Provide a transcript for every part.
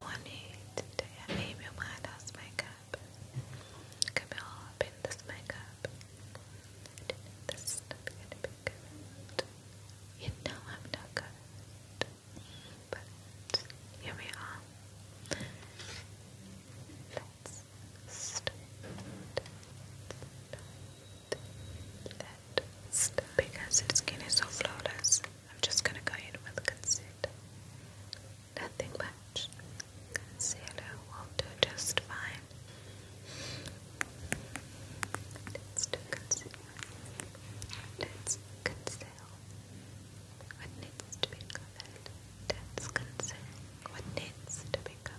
morning today I made my White House makeup. Come all up in this makeup. This is gonna be good. You know I'm not good. But here we are. Let's start. Let's start. Because its skin is so flawless. I'm just going to go in with concealer. Nothing much. Concealer will do just fine. Let's do concealer. let what needs to be covered. what needs to be covered.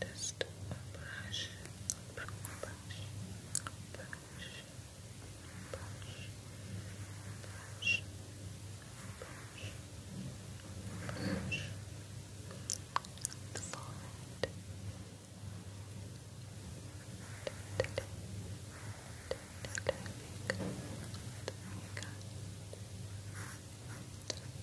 Just brush, brush, brush, brush, brush, brush, brush, forward. Perfect.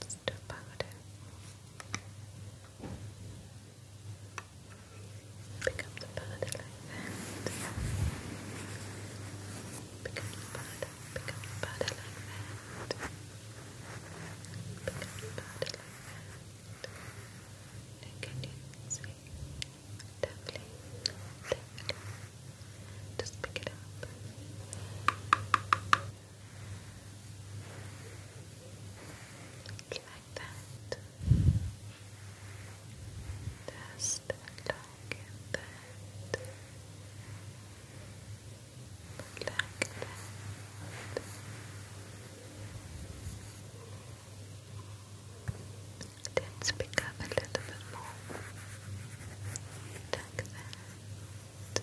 Let's do powder. Pick up the powder like that. Pick up the powder, pick up the powder like that. Pick up the powder like that. can you see? Definitely, definitely. Just pick it up. Like that. Just like that. Like that. Then speak up a little bit more. Like that. Like that.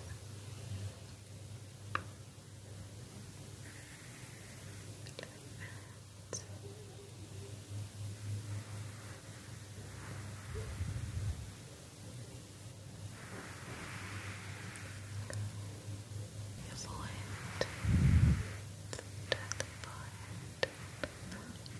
Your forehead, the forehead,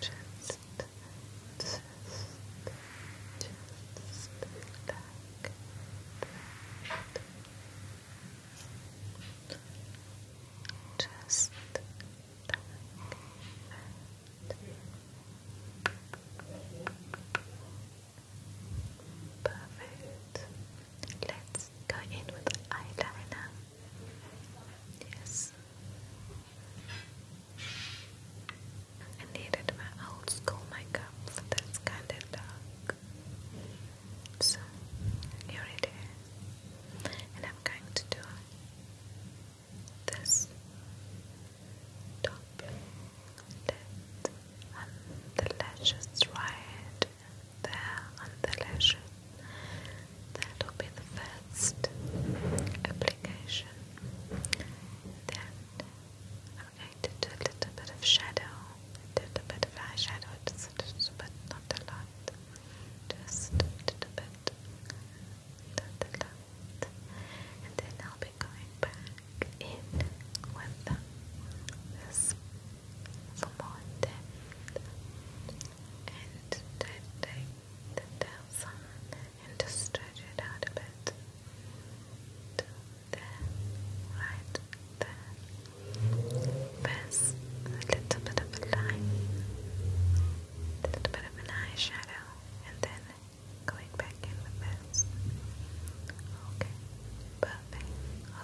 Just, just, just Just Perfect. Let's go in with eyeliner. Yes. I needed my old school makeup for kind of dark. So here it is. And I'm going to do this top lid and the lashes right there on the lesion. That'll be the first application. Then I'm going to do a little bit of shadow, a bit of eyeshadow, just not a lot, just a little bit, not a lot. And then I'll be going back in with this for more depth and then take the tail and just stretch it out a bit to right there pass a little bit of a line a little bit of an eyeshadow and then going back in with this okay, perfect,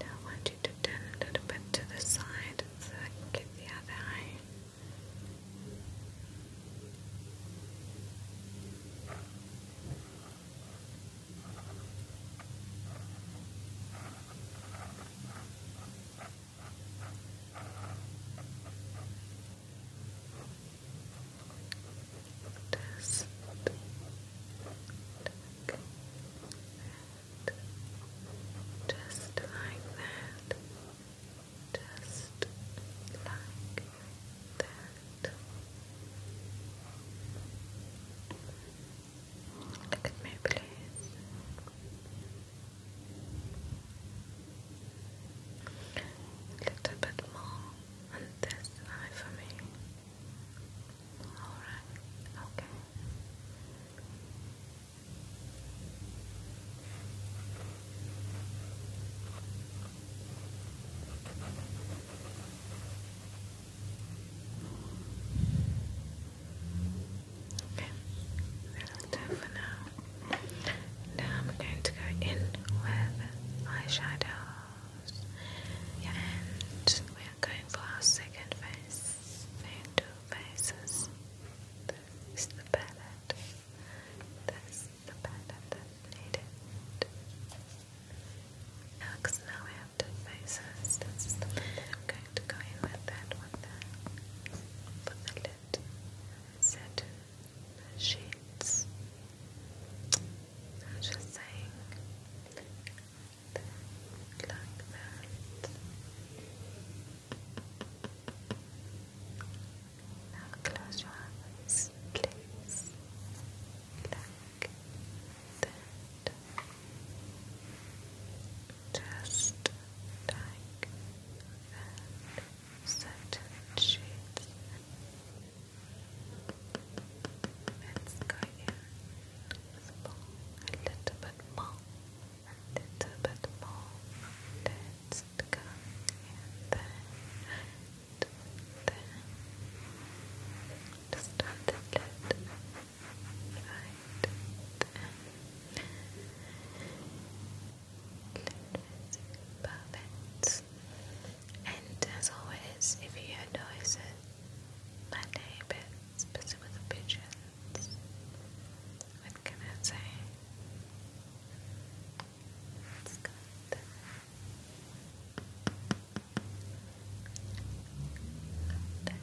Now I want you to turn a little bit to the side so I can get the other eye. Just look. There just like that, just like that. Look at me, please. A little bit more on this eye for me. Alright, okay. Okay, that's that for now. Now I'm going to go in with eyeshadows, yeah. and we are going for our second face, Fade to faces. There's the palette. There's the palette that's needed. Now, because now we have two I'm going to go in with that one there. Put set sheets. I'm just saying, that, like that. Now close your eyes, please. Like that. Just like that. Certain shapes. Let's go in a little bit more, a little bit more. Let's go in there and there. Just a little bit right there. Perfect. And as always, if you hear noises my neighbor's busy with the pigeons. What can I say? It's good.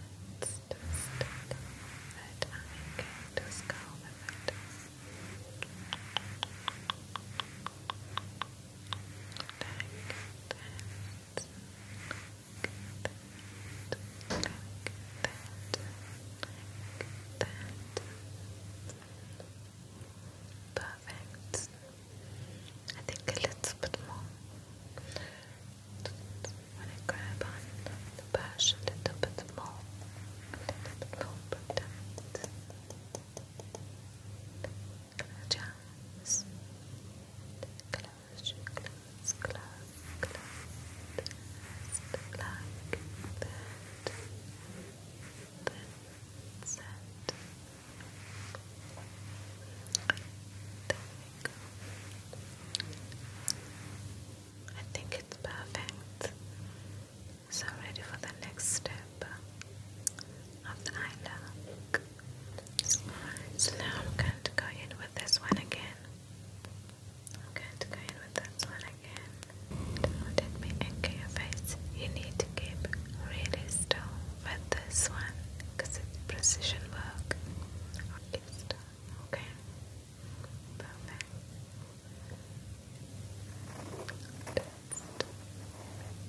That's just that I can just go with it. Like that that, like Perfect. I think a little bit more. When I grab on the brush a little bit more, Just close your close, close, close, just like that. That's it. There we go. I think it's perfect. So ready for the next step of the eye so now I'm going to go in with this one again. I'm going to go in with this one again. Don't let me face. You need to keep really still with this one because it's precision work. Keep okay? Perfect.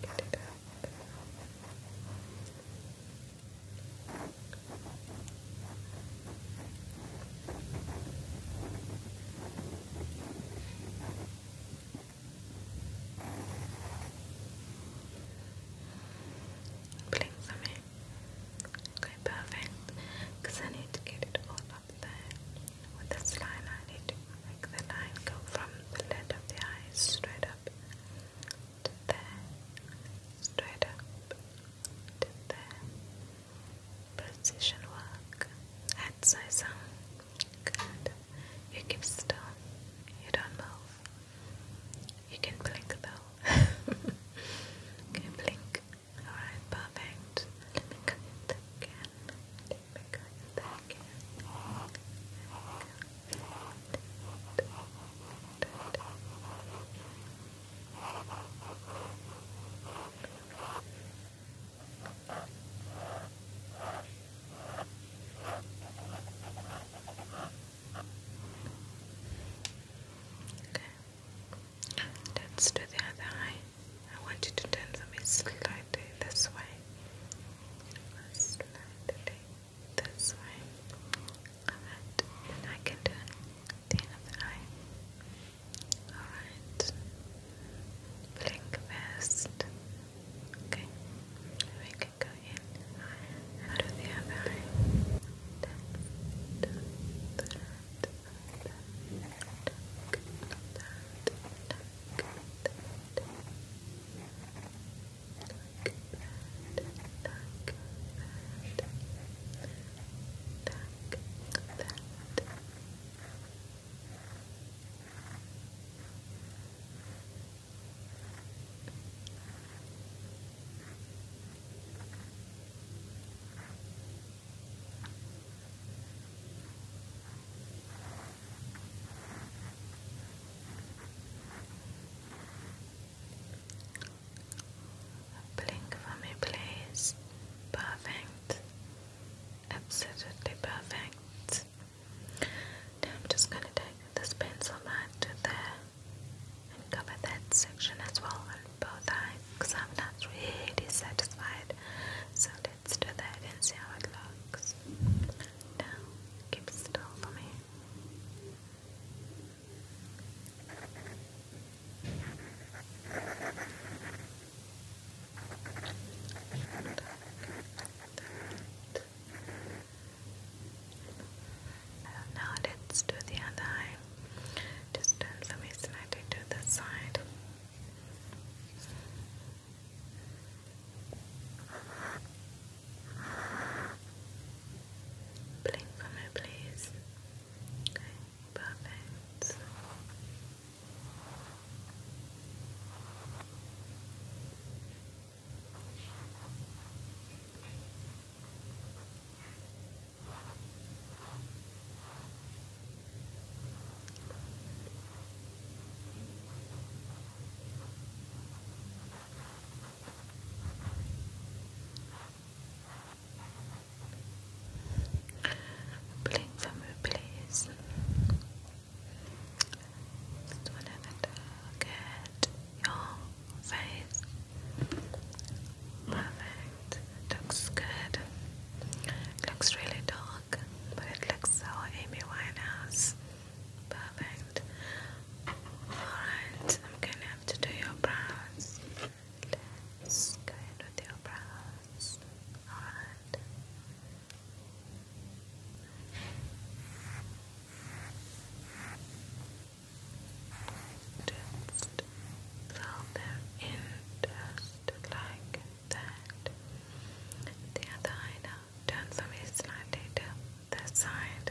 get it up. Blink for Okay, perfect. Because I need to get it all up there. With this line, I need to make the line go from the lid the eye straight up to there, straight up to there. Position work. Head size Good. You keep still. You don't move. You can blink though. can blink? Alright, perfect. Let me cut it again. Let me cut it again. Okay. Let's do the other eye. I want you to turn for me slightly this way this way. Alright, and I can do the other eye. Alright. Blink first. Okay. We can go in and do the other eye. Tuck that, tuck that, tuck that. Blink for me, please. Perfect. Absolutely perfect. I'm just going to take this pencil right to there and cover that section as well on both eyes because I'm not really satisfied. So let's do that and see how it looks. keep still for me. Now let's do the other eye. Just turn the waist ninety to the side. Blink for me, please. perfect. Blink please. Just whenever to look your face. Perfect. Looks good. Looks really dark, but it looks so Amy Winehouse. Perfect. Alright, I'm gonna have to do your brows. go in with your brows. Alright. Just fill in just like that. The other eye now. Turn me slightly to the side.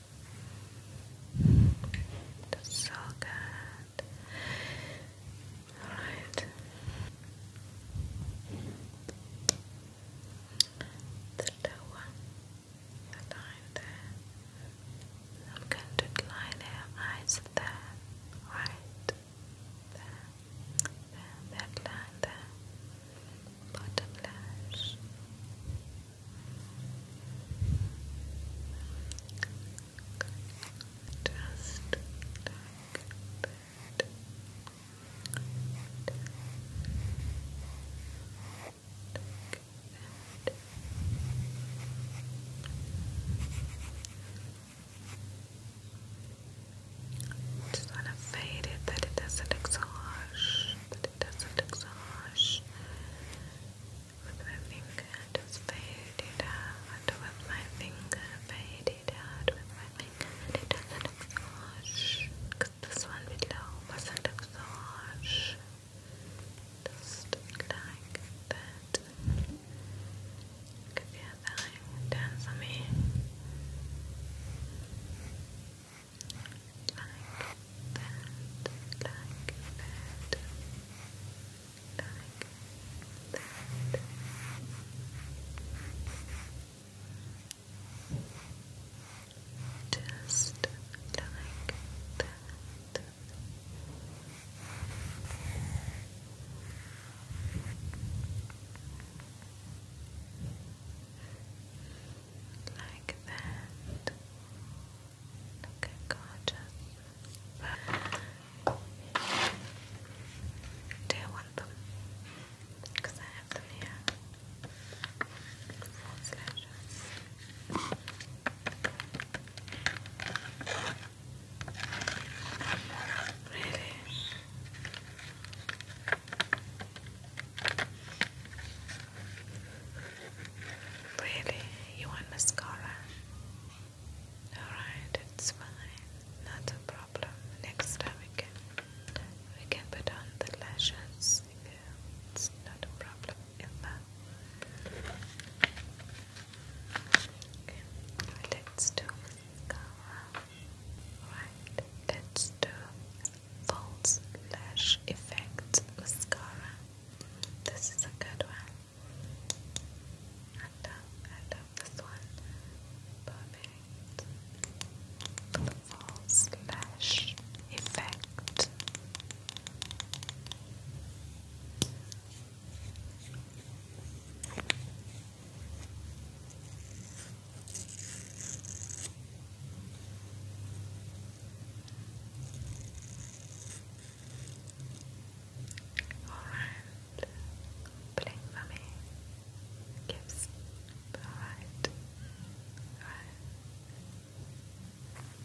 That's so good. Alright. The lower the line there. I'm going to line her eyes there. Right. There. There. That line there. Bottom lash. Just like want to fade it that it doesn't exhaust, that it doesn't exhaust. With my finger, I just out. With my finger, fade out. With my finger, it doesn't exhaust. Cause this one below wasn't exhaust. Just like that. Cause yeah, that dance for me that, like that. Like that. Just Like that. Like that. Okay, gorgeous. Do you want them? Because I have them here. Four slashes. Really? Really? You want mascara? Alright, it's fine. Not a problem. Next time we can we can put on the lashes. It's not a problem ever. Okay, let mascara. Right, let's do false lash effect mascara. This is a good one. I love, I love this one. Perfect. The false lash effect. Alright. Blink for me. Gifts. Alright. Alright.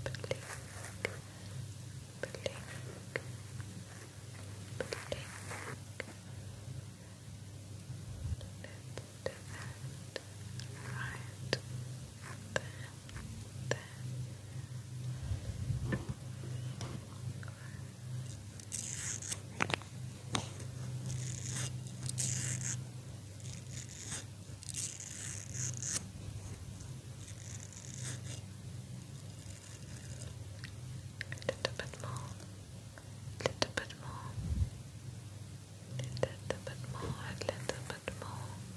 Blink. Blink. Blink. Let's right there, there. A little bit more, a little bit more, a little bit more, a little bit more.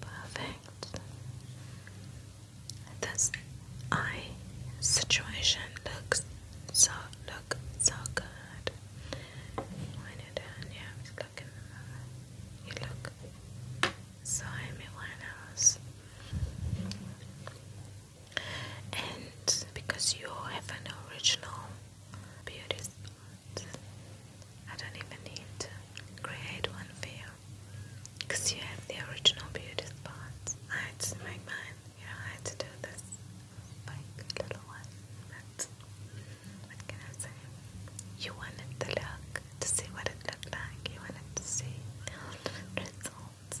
Perfect. This eye situation looks so look so good. yeah, in the You look so Amy Winehouse and because you have an original beauty spot, I don't even need to create one for you because you have the original beauty spot. I had to make mine, you know, I had to do this like little one, but what can I say? You wanted to look to see what it looked like, you wanted to see results.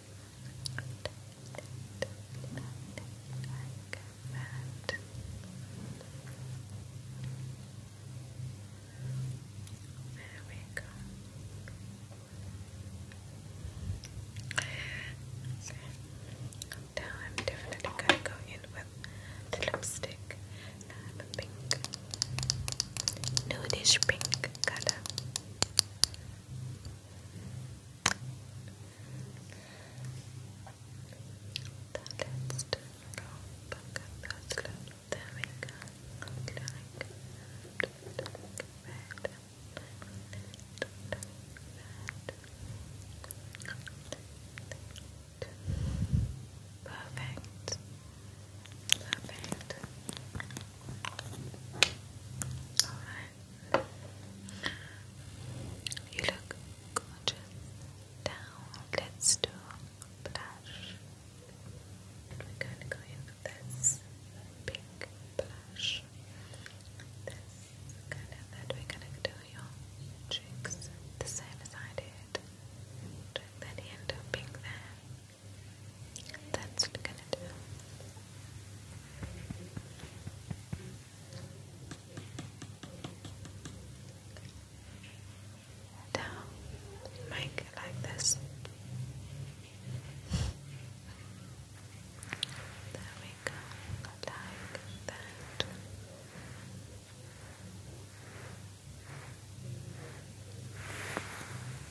that. There we go. So, now I'm definitely gonna go in with the lipstick. Now pink, nudish pink color let's turn it off back at the we go. Click, click, red, Perfect. Perfect. All right. You look gorgeous. Down, let's do blush. we're going to go in with this pink blush. This color that we're going to do your cheeks the same as I did. Drag that into pink there. That's we're going to do. Down, make it like this. There we go, like that.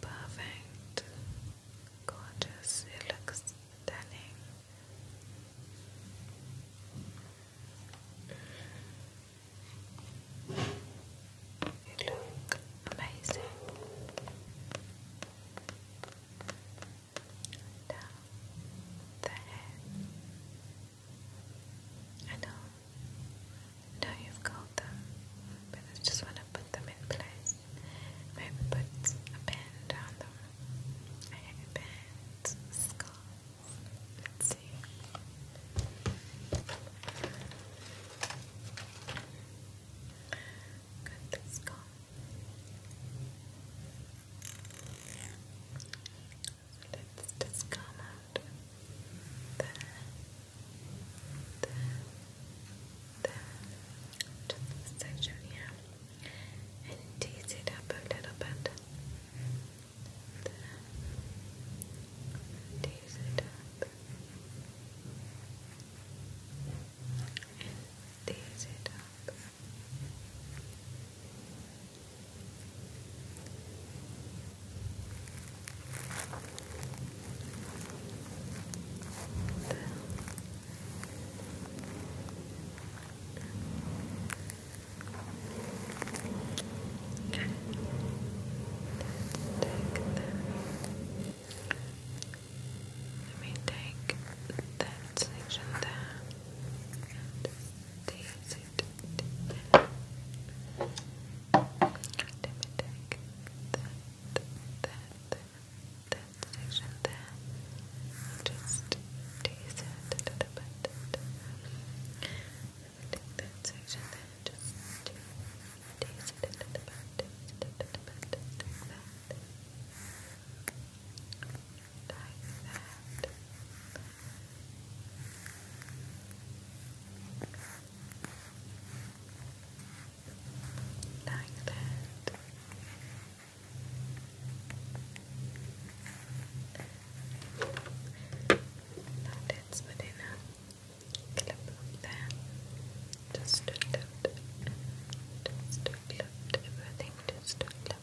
Perfect. Gorgeous. It looks stunning. You look amazing. Down the head. I know. I you've called them, but I just want to put them in place. Maybe put a pen down them. I have a band, scarf. Let's see. Good, let's go. Let's just come out. There. There. There. To section here. And tease it up a little bit. Tease it up. And tease it up. Let me take that section there and these take that, that, that section there and just tease it a little bit. Take that section there and just tease it a little bit, tease it a little bit, like that. Like that. Like that. Now that's good enough. Clip there. Just lift, just lift everything. Just lift loved,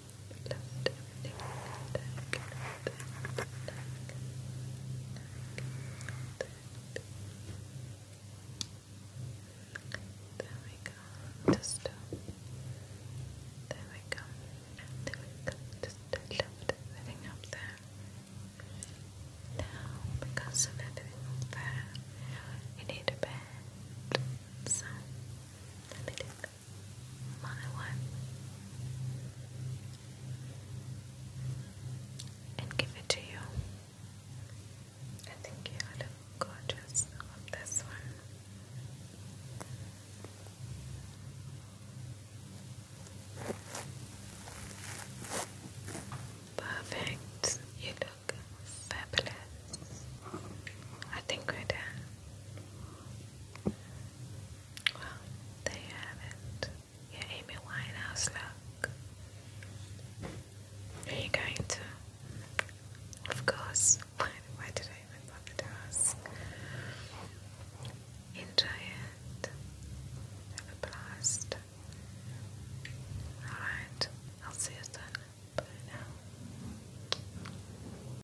Thank you, we go. Just uh, there we go. There we go. Just uh, lift everything up there. Now, because of everything up there, you need bed. So, let me do that my wife and give it to you. I think you look gorgeous on this one. Perfect. You look fabulous. I think we're done. Well, there you have it. Your Amy Winehouse look. Are you going to? Of course. Why, did I even bother to ask? Enjoy it. Have a blast. Alright, I'll see you soon. Bye now.